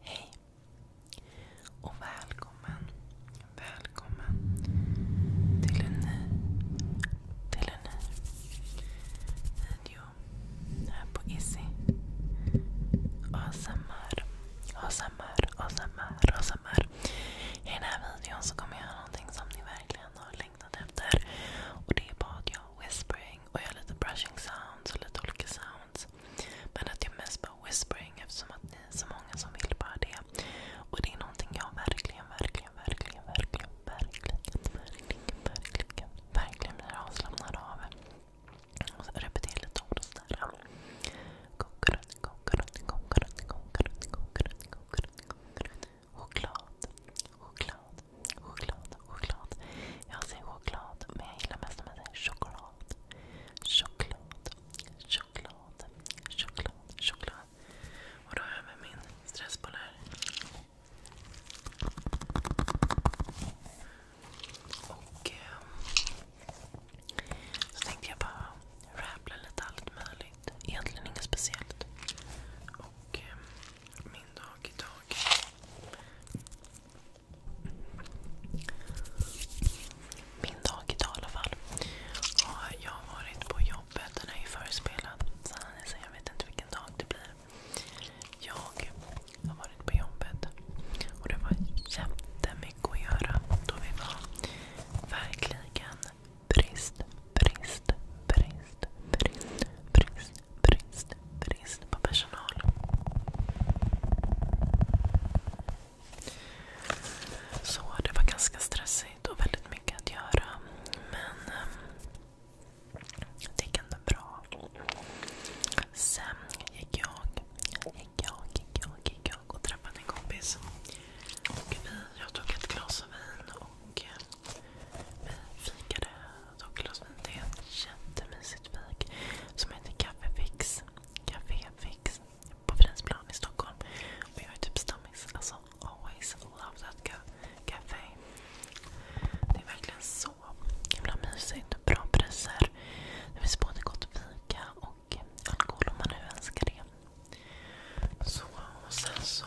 Hej och välkommen, välkommen till en ny, till en ny video här på Izzy. ASMR, ASMR, ASMR, ASMR. I den här videon så kommer jag någonting som ni verkligen har längtat efter. Och det är bara att jag whispering och jag lite brushing sounds och lite olika sounds. Men att jag mest bara whispering eftersom att ni är så många som vill bara det. Och det är någonting jag verkligen, verkligen, verkligen, verkligen, verkligen, verkligen, verkligen, verkligen blir avslappnad av. Och så repetera lite ord och sådär. Konkurrent, konkurrent, konkurrent, konkurrent, konkurrent, konkurrent. Choklad, choklad, choklad, choklad. Jag säger choklad, men jag gillar mest om jag säger choklad. Choklad, choklad, choklad, choklad. Och då har jag med min stressboll här. Och eh, så tänkte jag bara rappla lite allt möjligt. Egentligen inget speciellt. Och eh, min dag idag. Min dag idag i alla fall. jag har varit på jobbet. Den är ju förespelad. Så jag vet inte vilken dag det blir. Jag har varit på jobbet. Och det var jättemycket att göra Verkligen brist, brist, brist, brist, brist, brist, brist på personal. Så det var ganska stressigt och väldigt mycket att göra. Men ehm, det gick ändå bra. Sen gick jag, gick jag, gick jag, och träffade en kompis. jag eh, tog ett glas vin och vi fikade. Det är ett jättemysigt fik som heter Kaffefix. Caféfix på Fridhemsplan i Stockholm. Och jag typ stammis. Alltså, always love that café. Det är verkligen så himla mysigt. Bra priser. Det finns både gott fika och alkohol om man nu önskar det. Så, och sen så...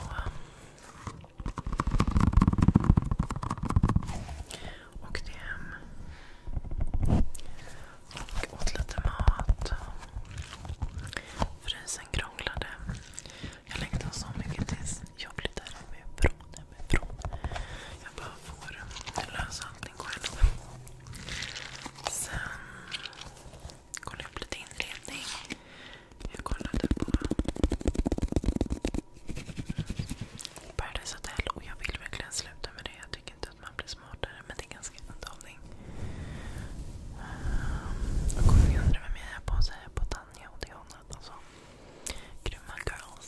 Åkte hem och åt lite mat. Frysen krånglade. Jag längtade så mycket tills jag där flyttade hemifrån. Jag bara får lösa allting själv. Sen kollade jag upp lite inredning. Jag kollade på Paradise Hotel jag vill verkligen sluta med det. Jag tycker inte att man blir smartare men det är ganska underhållning. Um, ehm, och undrar vem jag är på så är på Tanja och Diana. Alltså, grymma girls.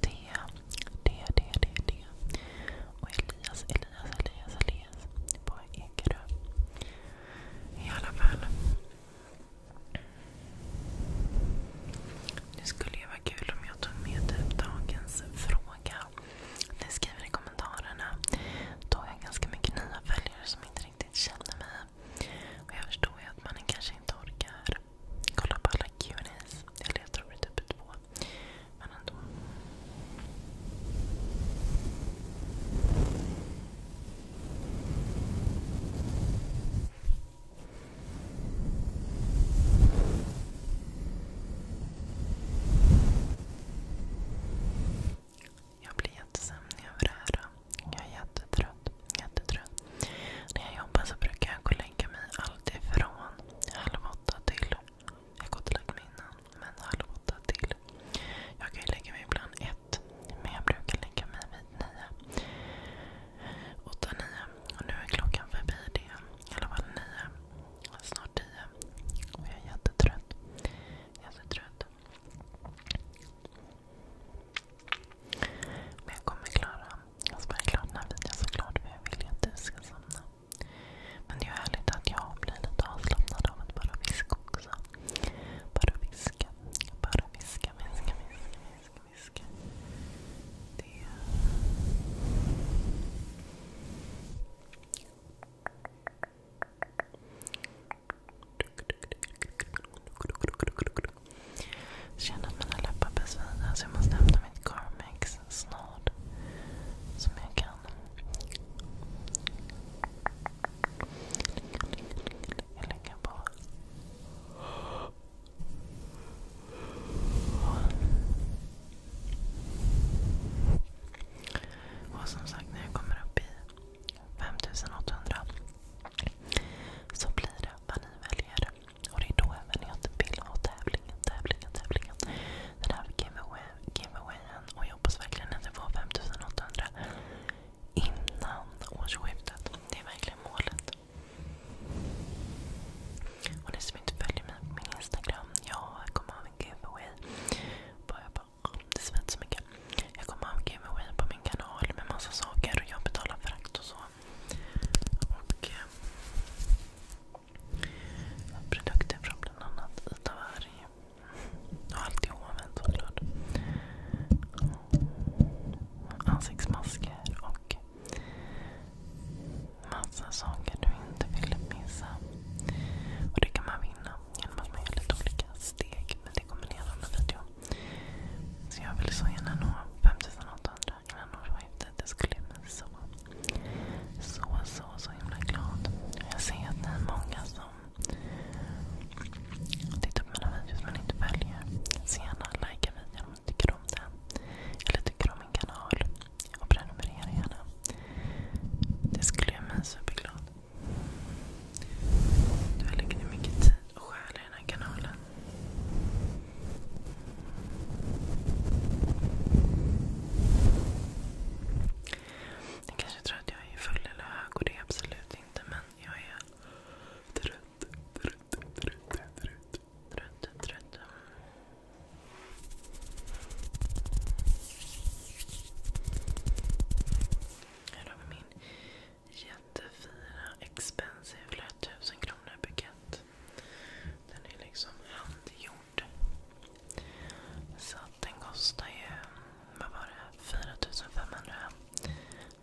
D, D, D, D, D. Och Elias, Elias, Elias, Elias på Ekerö. I alla fall. Det skulle ju vara kul om jag tog med typ dagens fråga. Ni skriver i kommentarerna. Då har ganska mycket nya följare som inte riktigt känner mig. Och jag förstår ju att man kanske inte orkar kolla på alla Q&As. jag tror det är typ två. Men ändå. Jag blir jättesömnig Jag är jättetrött. jättetrött. När jag jobbar så brukar jag gå lägga mig alltifrån halv åtta till... Jag har gått och lagt mig innan, men halv åtta till. Jag kan ju lägga mig ibland ett, men jag brukar lägga mig vid nio. Åtta, nio. Och nu är klockan förbi det. I alla fall nio. Snart tio. Och jag är jättetrött. Jättetrött. Men jag kommer klara. Jag ska vara den här videon såklart för jag vill ju att du ska somna. Men det är ju härligt att jag blir lite avslappnad av att bara viska också. Bara viska, bara viska, viska, viska, viska. Det är... Jag känner att mina läppar börjar så jag måste hämta mitt Carmex snart. Som jag kan. Jag lägger på. Och som sagt, när jag kommer upp i 5800 så blir det vad ni väljer. Och det är då även jag vill ha tävlingen, tävlingen, tävlingen. Den här giveaway, giveawayen. Och jag hoppas verkligen att jag får 5800 innan årsskiftet. Det är verkligen målet. Och ni som inte följer mig på min Instagram. Jag kommer ha en giveaway. Bara jag bara, det svett så mycket. Jag kommer ha giveaway på min kanal med massa saker och jag betalar frakt och så. Eh, produkter från bland annat Itaberg. Och allt i hoven såklart. Ansiktsmasker och massa saker du inte vill missa. Och det kan man vinna genom att man gör lite olika steg. Men det kommer ni göra en video så jag ville så gärna nå 5800 innan årsskiftet. skulle jag bli så, himla glad. Jag ser att det är många som tittar på mina videos men inte följer. Så gärna likea videon om ni tycker om den. Eller tycker om min kanal. Och prenumerera gärna. Det skulle jag bli superglad. Du lägger ner mycket tid och själ i den här kanalen. Ni kanske tror att jag är full eller hög och det är jag absolut inte. Men jag är trött, trött, trött, trött, trött, trött. Här har vi min jättefina expensive flöt 1000 kronor bukett. Den är liksom handgjord. Så den kostar ju, vad var det, 4500.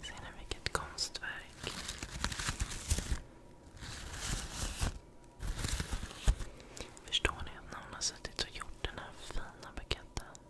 Ser ni vilket konstverk? Förstår ni att någon har suttit och gjort den här fina buketten?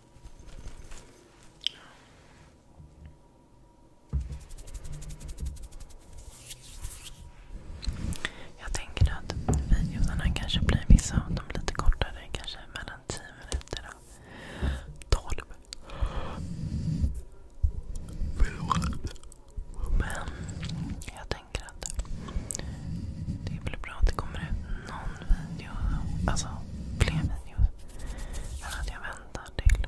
Jag tänker att videorna kanske blir lite kortare. Kanske mellan 10 minuter och 12. Men jag tänker att det är väl bra att det kommer ut någon video. Alltså fler videos. Än att jag väntar till.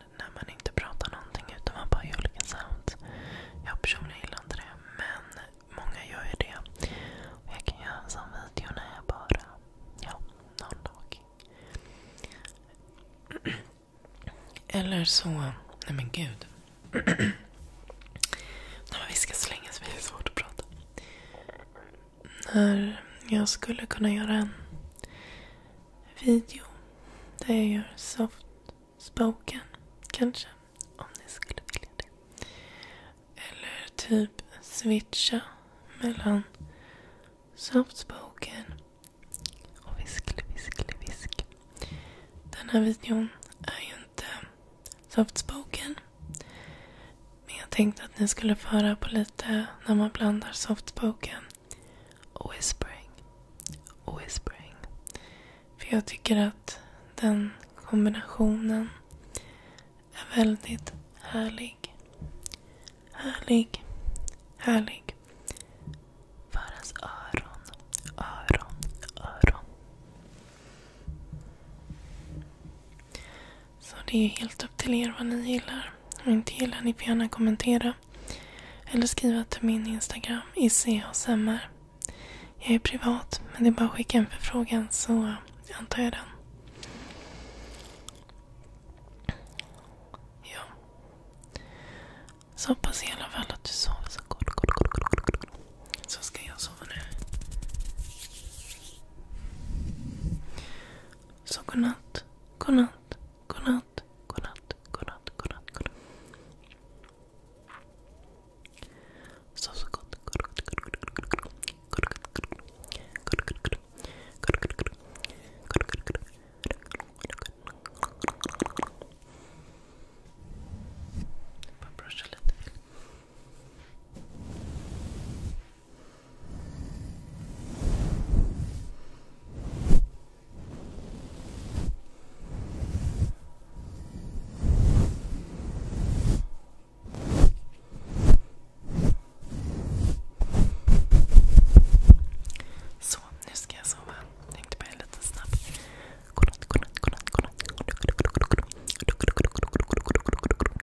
när man inte pratar någonting utan man bara gör olika sounds. Jag personligen gillar inte det, men många gör ju det. Och jag kan göra en sån video när jag bara... Ja, någon dag. Eller så... Nej men gud. När vi ska slänga så blir det svårt att prata. När jag skulle kunna göra en video där jag gör soft spoken, kanske. Om ni skulle vilja det. Eller typ switcha mellan soft spoken och viskle, viskle, visk. Den här videon är ju inte soft spoken. Men jag tänkte att ni skulle föra på lite när man blandar soft spoken Whispering. Whispering. För jag tycker att den kombinationen är väldigt härlig. Härlig. Härlig. Faras öron. Öron. Öron. Så det är helt upp till er vad ni gillar. Om ni inte gillar ni får gärna kommentera. Eller skriva till min Instagram, ICHSMR. Jag är privat, men det är bara att skicka en förfrågan så antar jag den. Ja. Så hoppas jag i alla fall att du sover så gott. Så ska jag sova nu. Så godnatt, godnatt, godnatt, godnatt, godnatt, godnatt, godnatt. Sov så gott. bara brusha lite. Så, nu ska jag sova. Jag tänkte bara lite snabbt. Godnatt, godnatt, godnatt, godnatt.